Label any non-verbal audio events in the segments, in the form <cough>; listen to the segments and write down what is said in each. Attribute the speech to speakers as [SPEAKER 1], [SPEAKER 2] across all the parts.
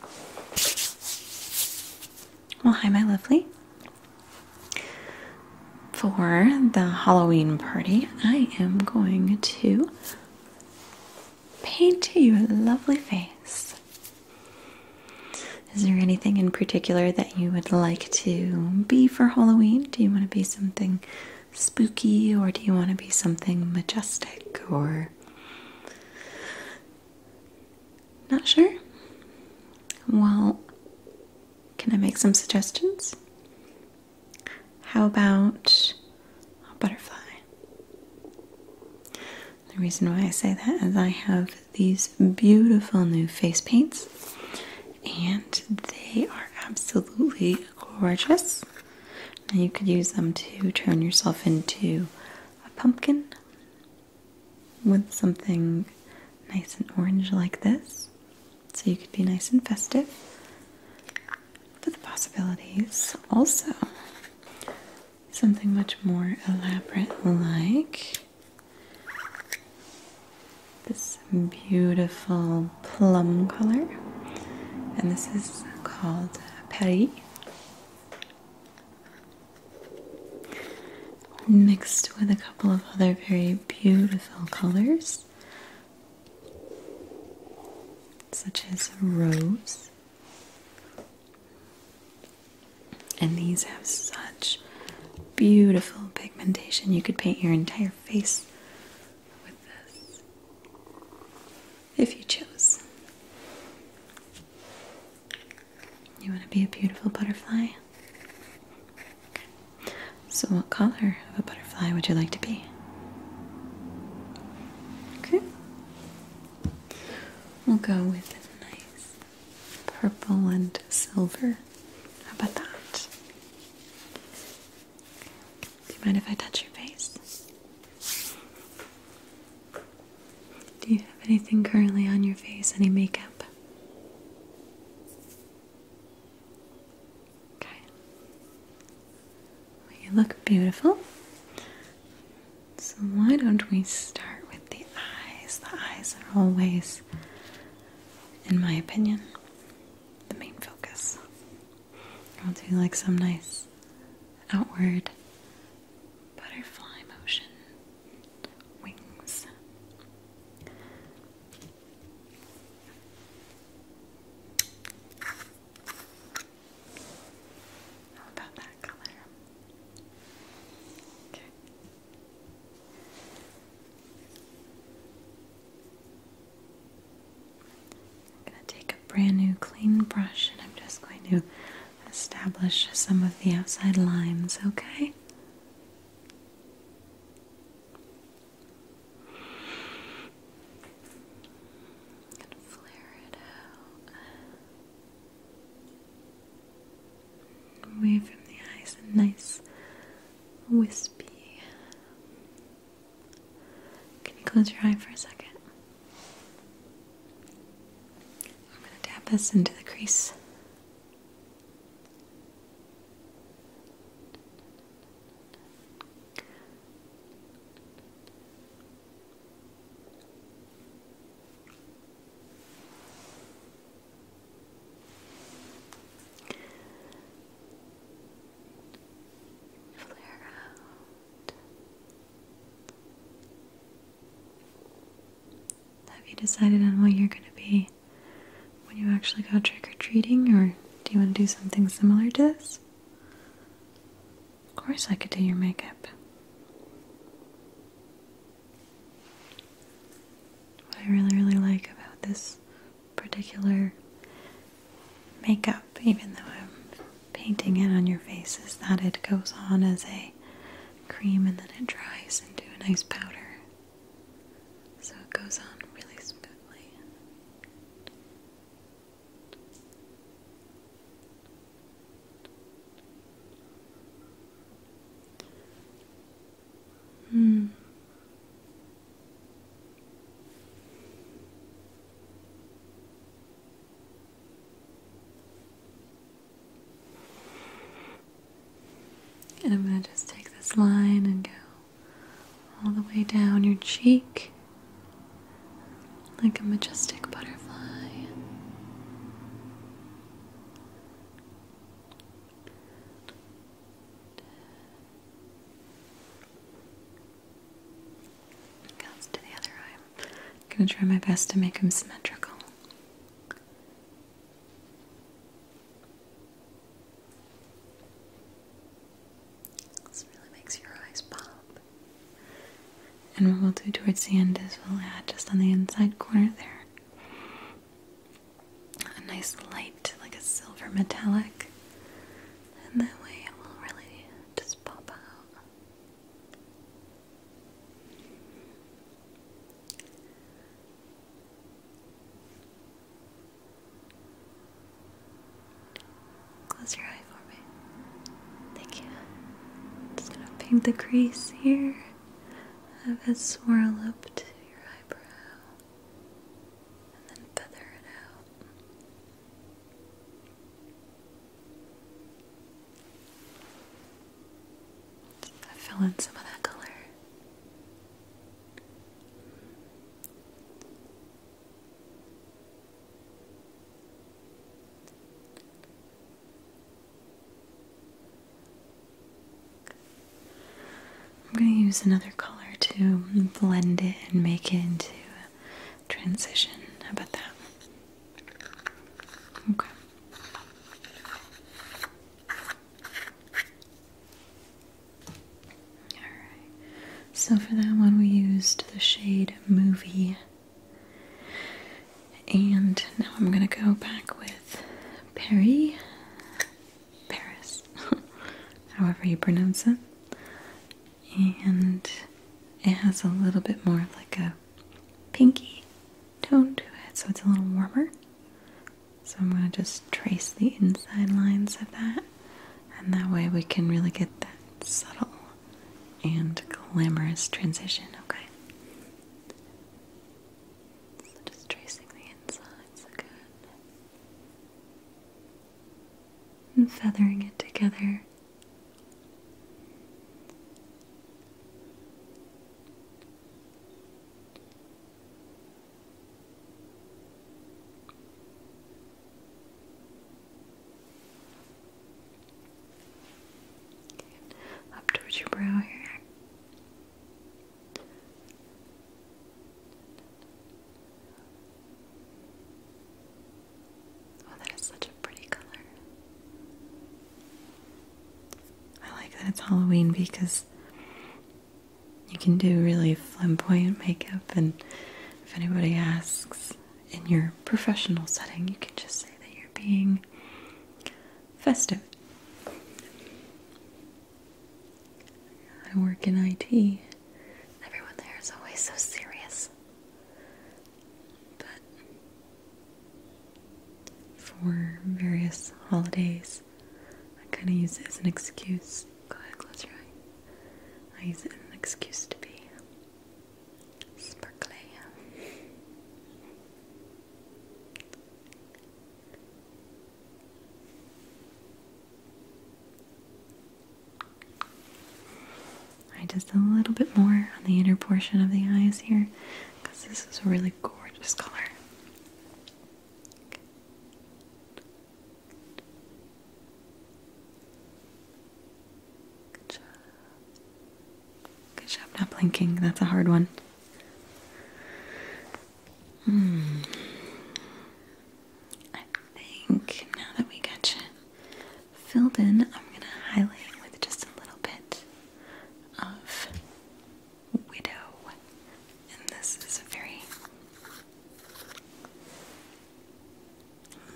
[SPEAKER 1] Well, hi, my lovely. For the Halloween party, I am going to paint you a lovely face. Is there anything in particular that you would like to be for Halloween? Do you want to be something spooky or do you want to be something majestic or not sure? Well, can I make some suggestions? How about a butterfly? The reason why I say that is I have these beautiful new face paints and they are absolutely gorgeous. And you could use them to turn yourself into a pumpkin with something nice and orange like this. So you could be nice and festive. But the possibilities also something much more elaborate like this beautiful plum color and this is called Paris mixed with a couple of other very beautiful colors, such as rose. And these have such beautiful pigmentation. You could paint your entire face with this if you chose. You want to be a beautiful butterfly? So, what color of a butterfly would you like to be? Okay. We'll go with a nice purple and silver. How about that? Do you mind if I touch your face? Do you have anything currently on your face? Any makeup? Okay. you look beautiful. So, why don't we start with the eyes? The eyes are always, in my opinion, the main focus. I'll do like some nice outward butterfly motion, wings. How about that color? Okay. I'm going to take a brand new clean brush and I'm just going to establish some of the outside lines, okay? And flare it out. Away from the eyes, a nice wispy. Can you close your eye for a second? I'm going to tap this into the crease. Flare out. Have you decided on what you're going to be when you actually go trick or treating, or do you want to do something similar to this? Of course, I could do your makeup. What I really, really like about this particular makeup, even though I'm painting it on your face is that it goes on as a cream and then it dries into a nice powder. So it goes on really smoothly. Hmm. And I'm going to just take this line and go all the way down your cheek like a majestic butterfly to the other eye. I'm gonna try my best to make them symmetrical. This really makes your eyes pop. And what we'll do towards the end is we'll add just on the inside corner there a nice light, like a silver metallic. And that way it will really just pop out. Close your eye for me. Thank you. Just gonna paint the crease here. Have it swirl up to your eyebrow. And then feather it out. Fill in some of that color. I'm going to use another color to blend it and make it into transition. about that? Okay. Alright. So for that one, we used the shade Movie. And now I'm gonna go back with Perry. Paris. <laughs> However you pronounce it. And it has a little bit more of like a pinky tone to it, so it's a little warmer. So I'm going to just trace the inside lines of that, and that way we can really get that subtle and glamorous transition, okay? So just tracing the insides again. And feathering it together up towards your brow here. Oh, that is such a pretty color. I like that it's Halloween because you can do really flamboyant makeup, and if anybody asks in your professional setting, you can just say that you're being festive. I work in IT. Everyone there is always so serious. But for various holidays. I kind of use it as an excuse. Go ahead, close your eye. I use it as an excuse to be sparkly. I just a little bit more on the inner portion of the eyes here because this is a really gorgeous color. Good job. Good job not blinking. That's a hard one. Hmm. I think now that we got you filled in, I'm going to highlight with just a little bit of Widow. And this is a very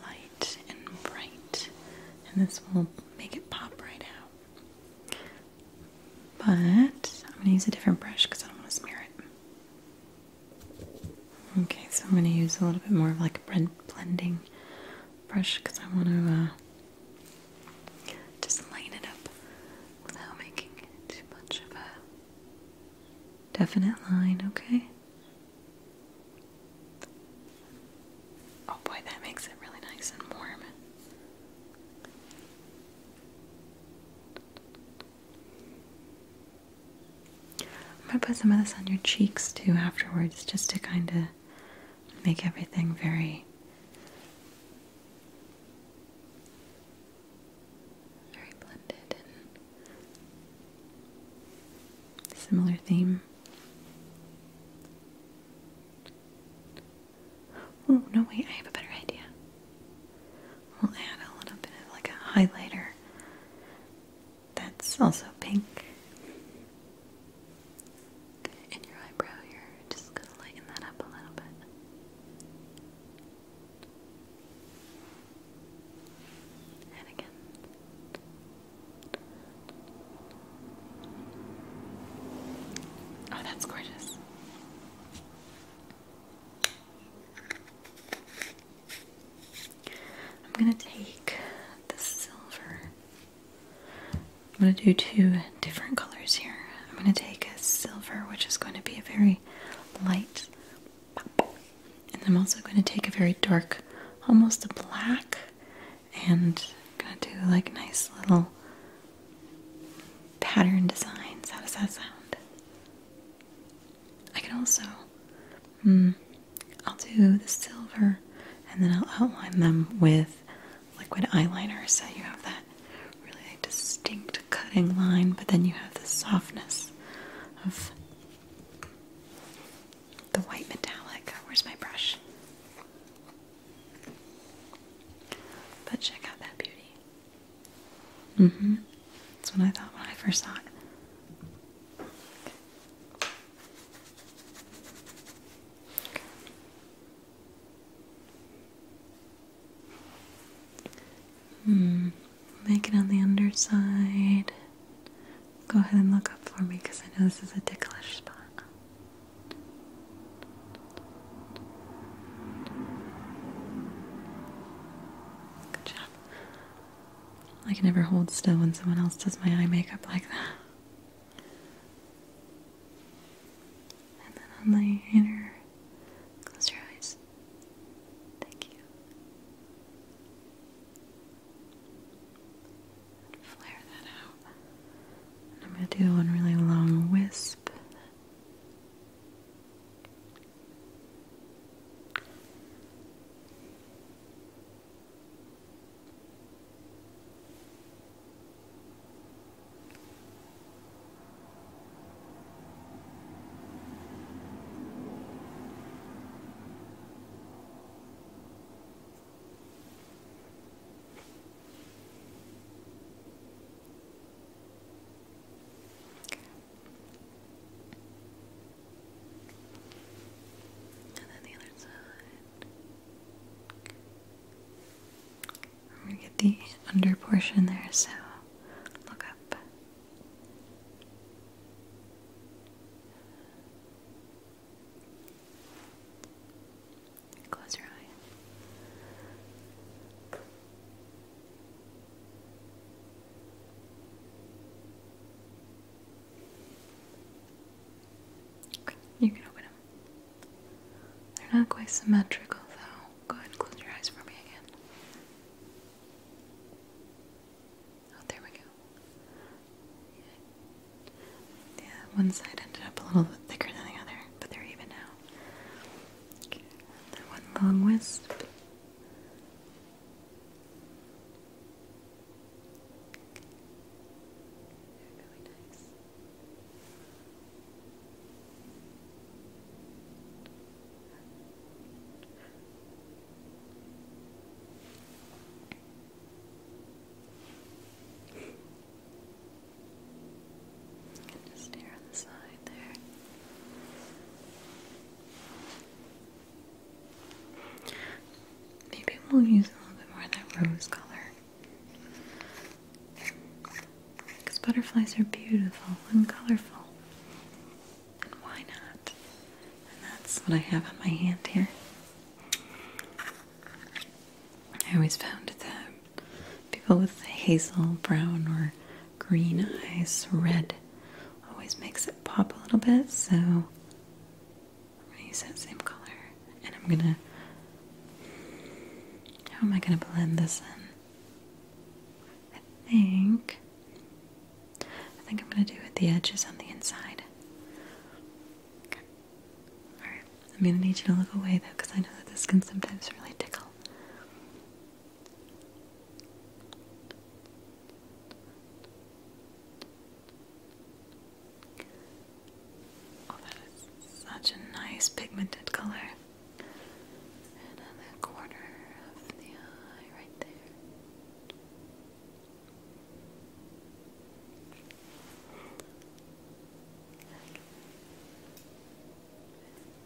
[SPEAKER 1] light and bright, and this will make it pop right out. But I'm going to use a different brush because I don't want to smear it. Okay, so I'm going to use a little bit more of like a blending brush because I want to uh, just line it up without making it too much of a definite line, okay? Oh boy, that makes it really nice and warm. I'm gonna put some of this on your cheeks too afterwards just to kind of make everything very very blended similar theme. Oh no wait, I have a better idea. We'll add a little bit of like a highlighter that's also pink. And your eyebrow here, just gonna lighten that up a little bit. And again. Oh, that's gorgeous. I'm going to take the silver I'm going to do two different colors here. I'm going to take a silver, which is going to be a very light And I'm also going to take a very dark, almost a black, and I'm going to do like nice little pattern designs. How does that sound? I can also Hmm. I'll do the silver and then I'll outline them with liquid eyeliner so you have that really distinct cutting line, but then you have the softness of the white metallic. Where's my brush? But check out that beauty. Mm hmm. That's what I thought when I first saw it. Hmm. Make it on the underside. Go ahead and look up for me because I know this is a ticklish spot. Good job. I can never hold still when someone else does my eye makeup like that. And then on the inner, close your eyes. Thank you. flare that out. I'm going to do one really long wisp. And then the other side. I'm gonna get the under portion there, so look up. Close your eye. You can open them. They're not quite symmetrical though. Go ahead and close your eyes for me again. Oh, there we go. Yeah, one side ended up a little bit thicker than the other, but they're even now. Okay, that one long wisp. They're Just stare on the side there. Maybe we'll use a little bit more of that rose color. Because butterflies are beautiful and colorful. And why not? And that's what I have on my hand here. I always found that people with hazel, brown, or green eyes, red, always makes it pop a little bit. So I'm gonna use that same color and I'm gonna how am I gonna blend this in? I think I think I'm gonna do it the edges on the inside. Okay. Alright. I'm gonna need you to look away though because I know that this can sometimes really tickle. Oh, that is such a nice pigmented color. Another corner of the eye right there.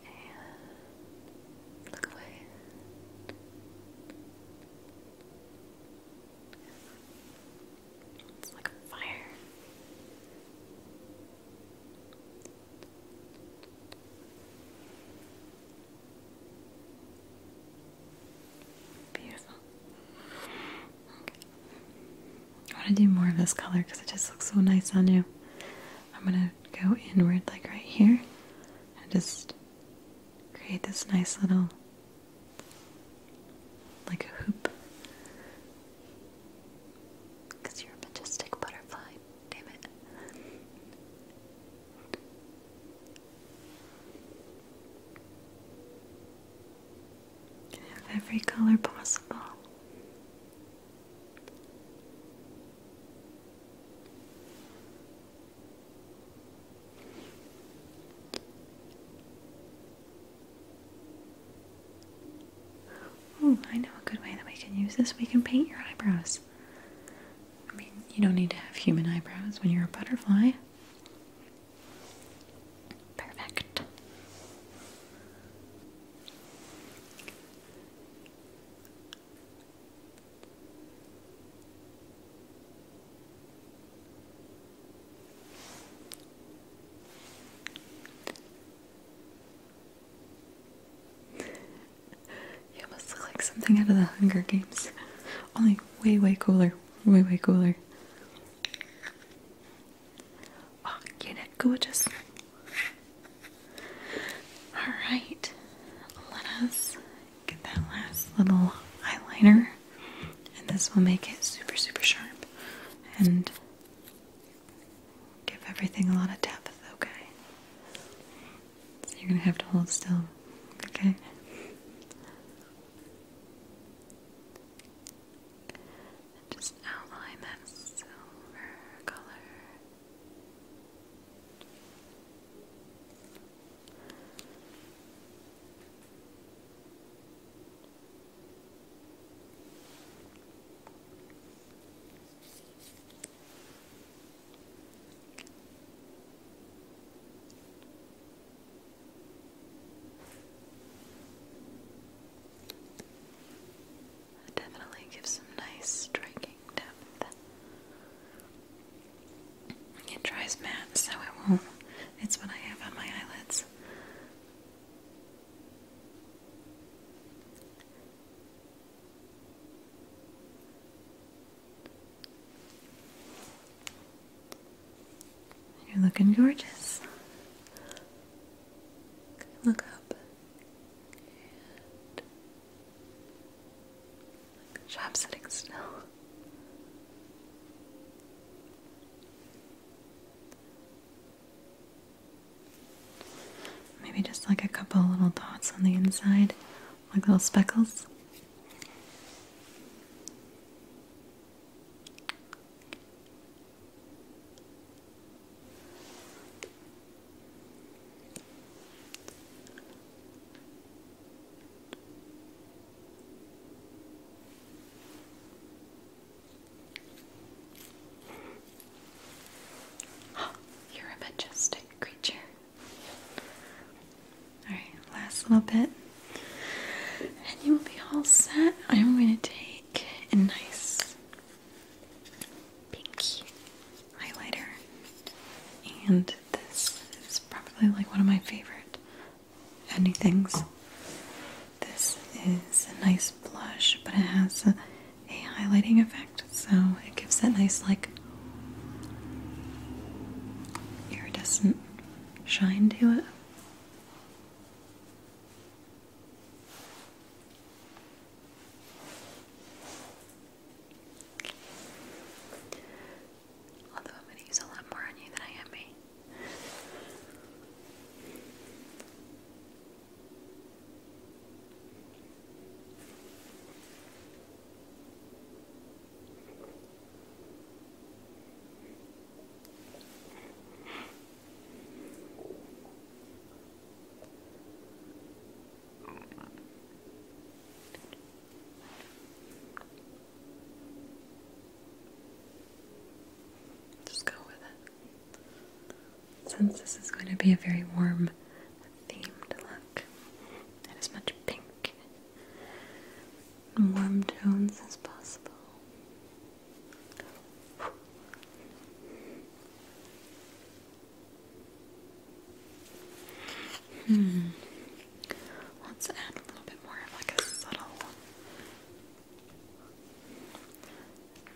[SPEAKER 1] And look away. It's like a fire. Beautiful. Okay. I want to do more of this color because it just looks so nice on you. I'm going to go inward, like right here, and just create this nice little like a hoop. you're a majestic butterfly, damn it. You have every color possible. Oh, I know a good way that we can use this. We can paint your eyebrows. I mean, you don't need to have human eyebrows when you're a butterfly. Perfect. <laughs> you must look like something out of the Hunger Games. Only way, way cooler. Way, way cooler. Oh, get it gorgeous. Alright, let us get that last little eyeliner and this will make it super super sharp and give everything a lot of depth, okay? So you're gonna have to hold still, okay? just outline that silver color. It definitely gives some nice striking depth. It dries matte, so it won't. It's what I have on my eyelids. You're looking gorgeous. Look up. And sitting still. Maybe just like a couple little dots on the inside, like little speckles. <gasps> you're a majestic creature. Alright, last little bit. And you will be all set. I'm going to take a nice pink highlighter. And this is probably like one of my favorite any things. This is a nice blush, but it has a, a highlighting effect, so it gives that nice, like, iridescent shine to it. Although I'm going to use a lot more on you than I am me. Just go with it. Since this is going to be a very warm themed look, and as much pink and warm tones as possible. Hmm. Let's add a little bit more of like a subtle.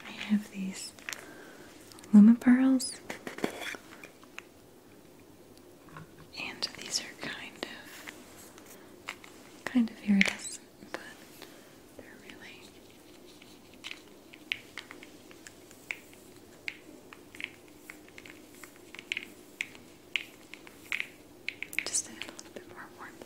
[SPEAKER 1] I have these Luma pearls, and these are kind of kind of iridescent, but they're really. Just a little bit more warmth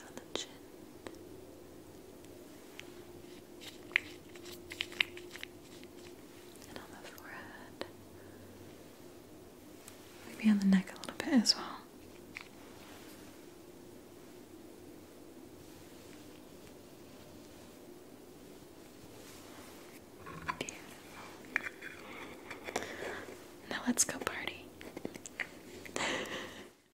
[SPEAKER 1] on the chin. And on the forehead. Maybe on the neck a little bit as well. Now let's go party. <laughs>